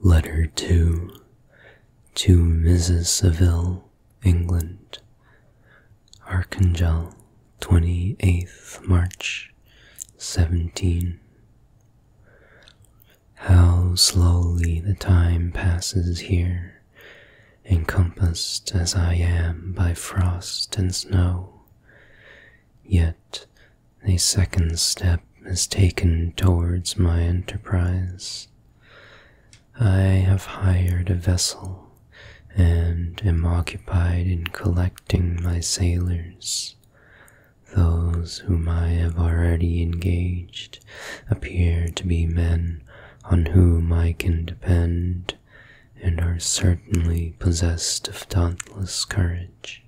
Letter 2 To Mrs. Saville, England Archangel, 28th March, 17. How slowly the time passes here, encompassed as I am by frost and snow, yet a second step is taken towards my enterprise. I have hired a vessel and am occupied in collecting my sailors. Those whom I have already engaged appear to be men on whom I can depend and are certainly possessed of dauntless courage.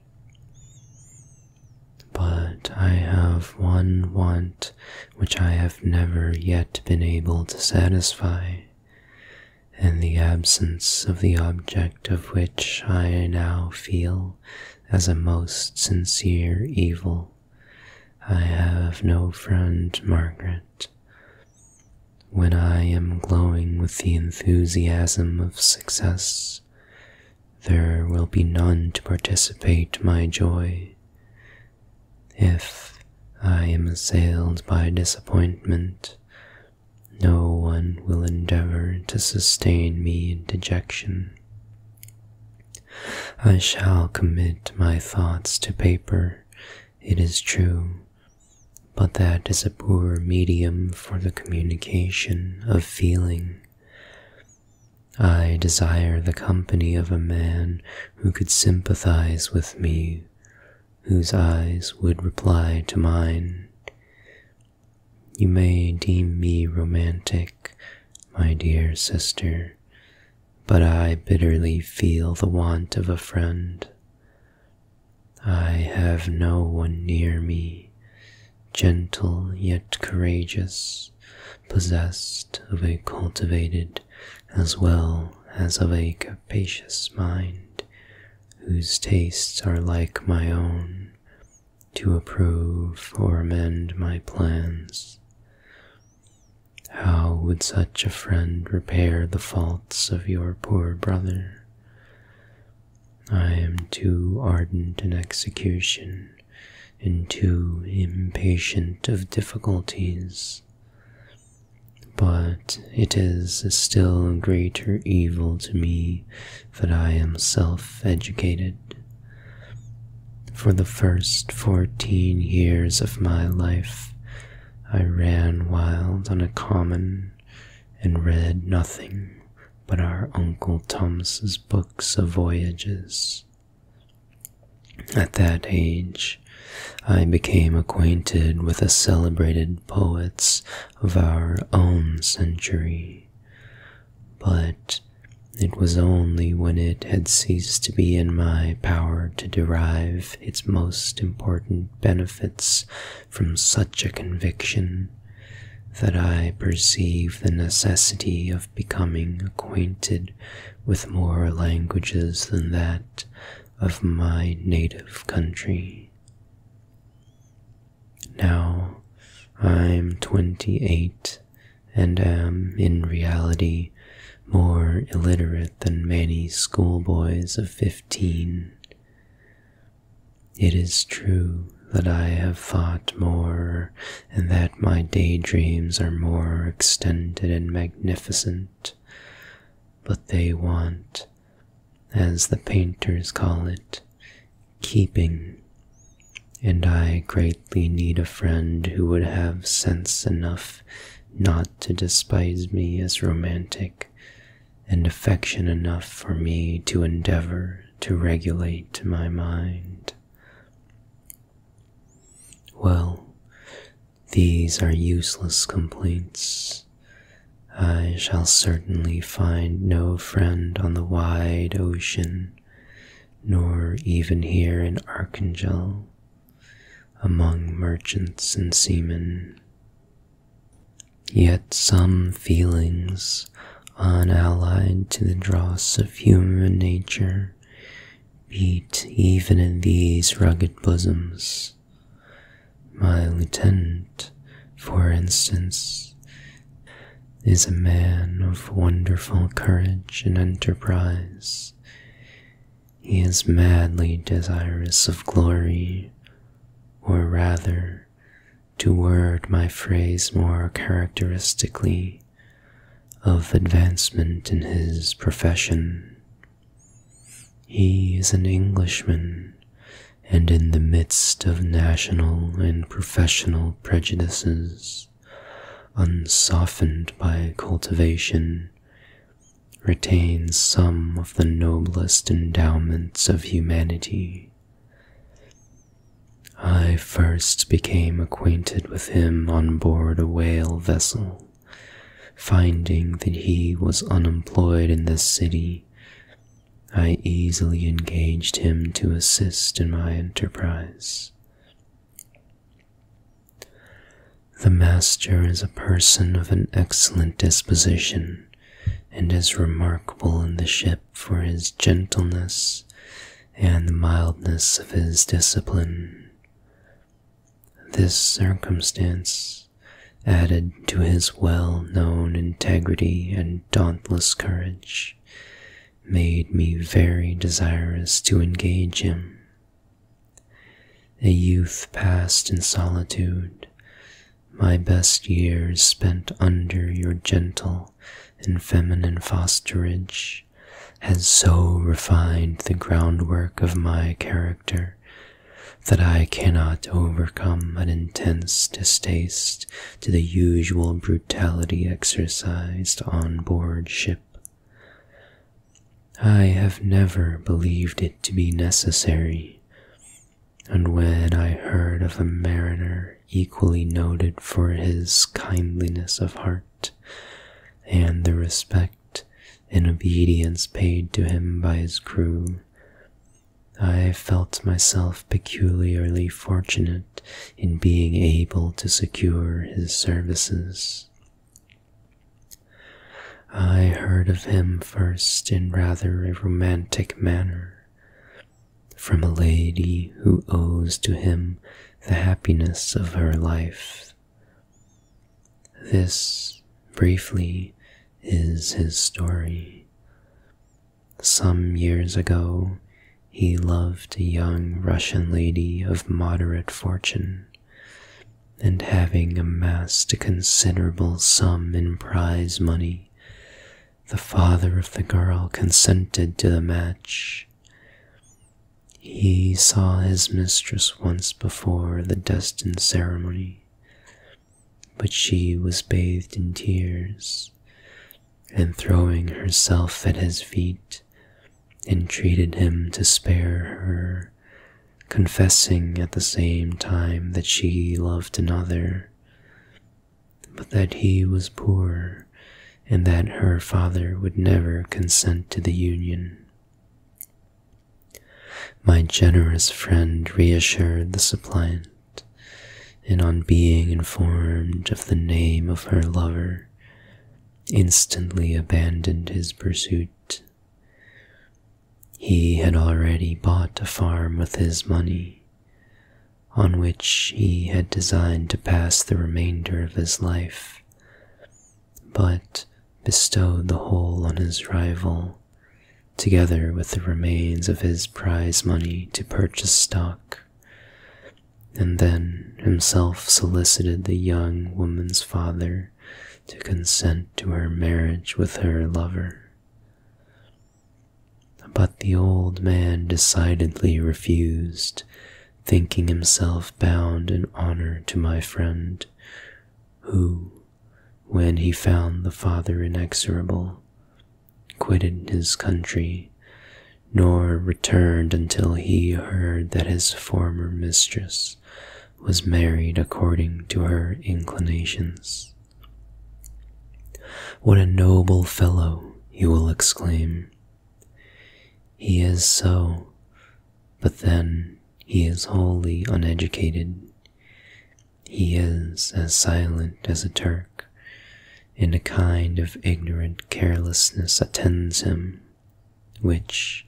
But I have one want which I have never yet been able to satisfy, and the absence of the object of which I now feel as a most sincere evil. I have no friend, Margaret. When I am glowing with the enthusiasm of success, there will be none to participate my joy. If I am assailed by disappointment, no one will endeavor to sustain me in dejection. I shall commit my thoughts to paper, it is true, but that is a poor medium for the communication of feeling. I desire the company of a man who could sympathize with me, whose eyes would reply to mine. You may deem me romantic, my dear sister, but I bitterly feel the want of a friend. I have no one near me, gentle yet courageous, possessed of a cultivated as well as of a capacious mind, whose tastes are like my own, to approve or amend my plans. How would such a friend repair the faults of your poor brother? I am too ardent in execution and too impatient of difficulties. But it is a still greater evil to me that I am self-educated. For the first fourteen years of my life I ran wild on a common and read nothing but our Uncle Thomas's books of voyages. At that age, I became acquainted with a celebrated poet of our own century, but it was only when it had ceased to be in my power to derive its most important benefits from such a conviction that I perceive the necessity of becoming acquainted with more languages than that of my native country. Now I'm twenty eight and am in reality more illiterate than many schoolboys of fifteen it is true that I have thought more, and that my daydreams are more extended and magnificent, but they want, as the painters call it, keeping. And I greatly need a friend who would have sense enough not to despise me as romantic, and affection enough for me to endeavor to regulate my mind. Well, these are useless complaints. I shall certainly find no friend on the wide ocean, nor even here in Archangel, among merchants and seamen. Yet some feelings, unallied to the dross of human nature, beat even in these rugged bosoms. My lieutenant, for instance, is a man of wonderful courage and enterprise. He is madly desirous of glory, or rather, to word my phrase more characteristically, of advancement in his profession. He is an Englishman, and in the midst of national and professional prejudices, unsoftened by cultivation, retains some of the noblest endowments of humanity. I first became acquainted with him on board a whale vessel, finding that he was unemployed in this city. I easily engaged him to assist in my enterprise. The master is a person of an excellent disposition, and is remarkable in the ship for his gentleness and the mildness of his discipline. This circumstance, added to his well known integrity and dauntless courage, made me very desirous to engage him. A youth passed in solitude, my best years spent under your gentle and feminine fosterage, has so refined the groundwork of my character that I cannot overcome an intense distaste to the usual brutality exercised on board ship. I have never believed it to be necessary, and when I heard of a mariner equally noted for his kindliness of heart and the respect and obedience paid to him by his crew, I felt myself peculiarly fortunate in being able to secure his services. I heard of him first in rather a romantic manner from a lady who owes to him the happiness of her life. This, briefly, is his story. Some years ago, he loved a young Russian lady of moderate fortune, and having amassed a considerable sum in prize money, the father of the girl consented to the match. He saw his mistress once before the destined ceremony, but she was bathed in tears, and throwing herself at his feet, entreated him to spare her, confessing at the same time that she loved another, but that he was poor and that her father would never consent to the union. My generous friend reassured the suppliant, and on being informed of the name of her lover, instantly abandoned his pursuit. He had already bought a farm with his money, on which he had designed to pass the remainder of his life, but bestowed the whole on his rival, together with the remains of his prize money to purchase stock, and then himself solicited the young woman's father to consent to her marriage with her lover. But the old man decidedly refused, thinking himself bound in honor to my friend, who, when he found the father inexorable, quitted his country nor returned until he heard that his former mistress was married according to her inclinations. What a noble fellow, you will exclaim. He is so, but then he is wholly uneducated. He is as silent as a Turk, and a kind of ignorant carelessness attends him, which,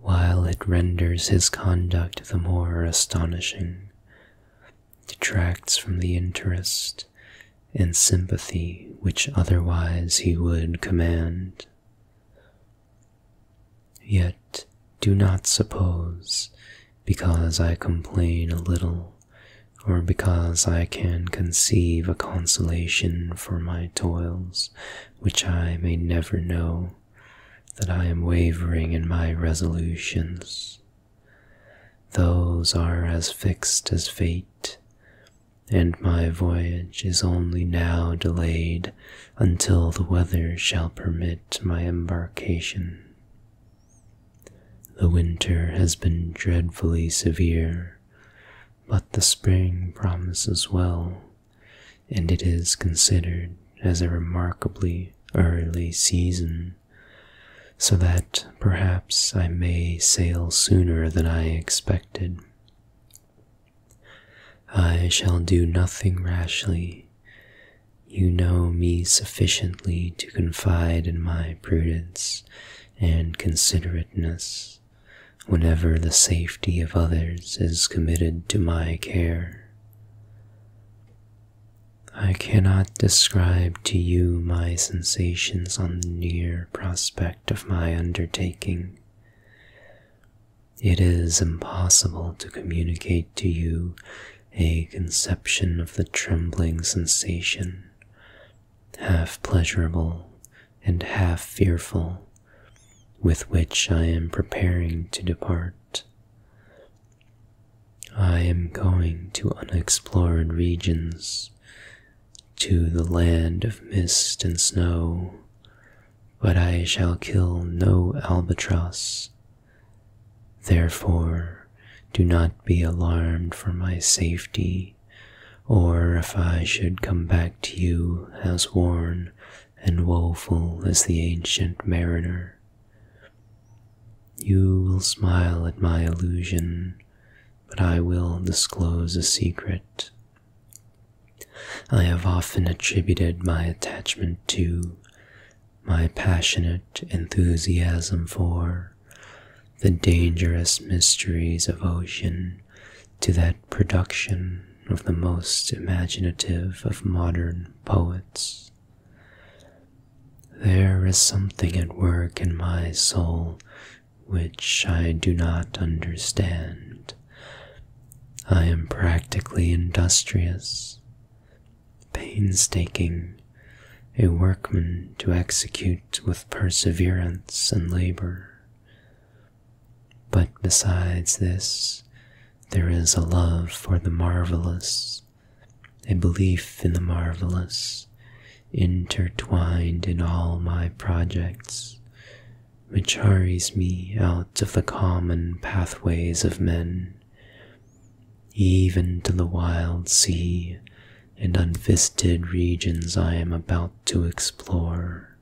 while it renders his conduct the more astonishing, detracts from the interest and sympathy which otherwise he would command. Yet do not suppose, because I complain a little, or because I can conceive a consolation for my toils, which I may never know, that I am wavering in my resolutions. Those are as fixed as fate, and my voyage is only now delayed until the weather shall permit my embarkation. The winter has been dreadfully severe, but the spring promises well, and it is considered as a remarkably early season, so that perhaps I may sail sooner than I expected. I shall do nothing rashly. You know me sufficiently to confide in my prudence, and considerateness whenever the safety of others is committed to my care. I cannot describe to you my sensations on the near prospect of my undertaking. It is impossible to communicate to you a conception of the trembling sensation, half pleasurable and half fearful, with which I am preparing to depart. I am going to unexplored regions, to the land of mist and snow, but I shall kill no albatross Therefore, do not be alarmed for my safety, or if I should come back to you as worn and woeful as the ancient mariner. You will smile at my illusion, but I will disclose a secret. I have often attributed my attachment to my passionate enthusiasm for the dangerous mysteries of ocean to that production of the most imaginative of modern poets. There is something at work in my soul which I do not understand. I am practically industrious, painstaking, a workman to execute with perseverance and labor. But besides this, there is a love for the marvelous, a belief in the marvelous, intertwined in all my projects, which hurries me out of the common pathways of men even to the wild sea and unvisited regions I am about to explore.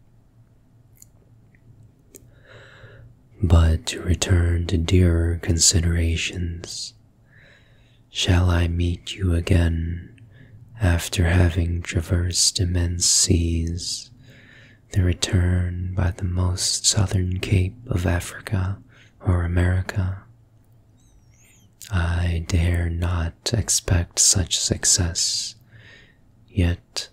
But to return to dearer considerations, shall I meet you again after having traversed immense seas? The return by the most southern cape of Africa or America. I dare not expect such success, yet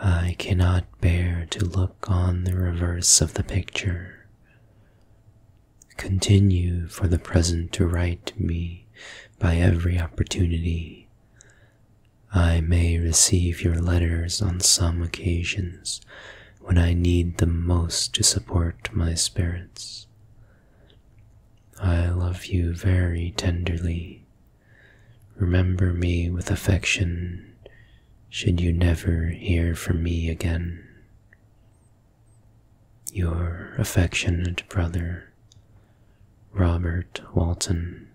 I cannot bear to look on the reverse of the picture. Continue for the present to write me by every opportunity. I may receive your letters on some occasions, when I need the most to support my spirits. I love you very tenderly. Remember me with affection should you never hear from me again. Your affectionate brother, Robert Walton.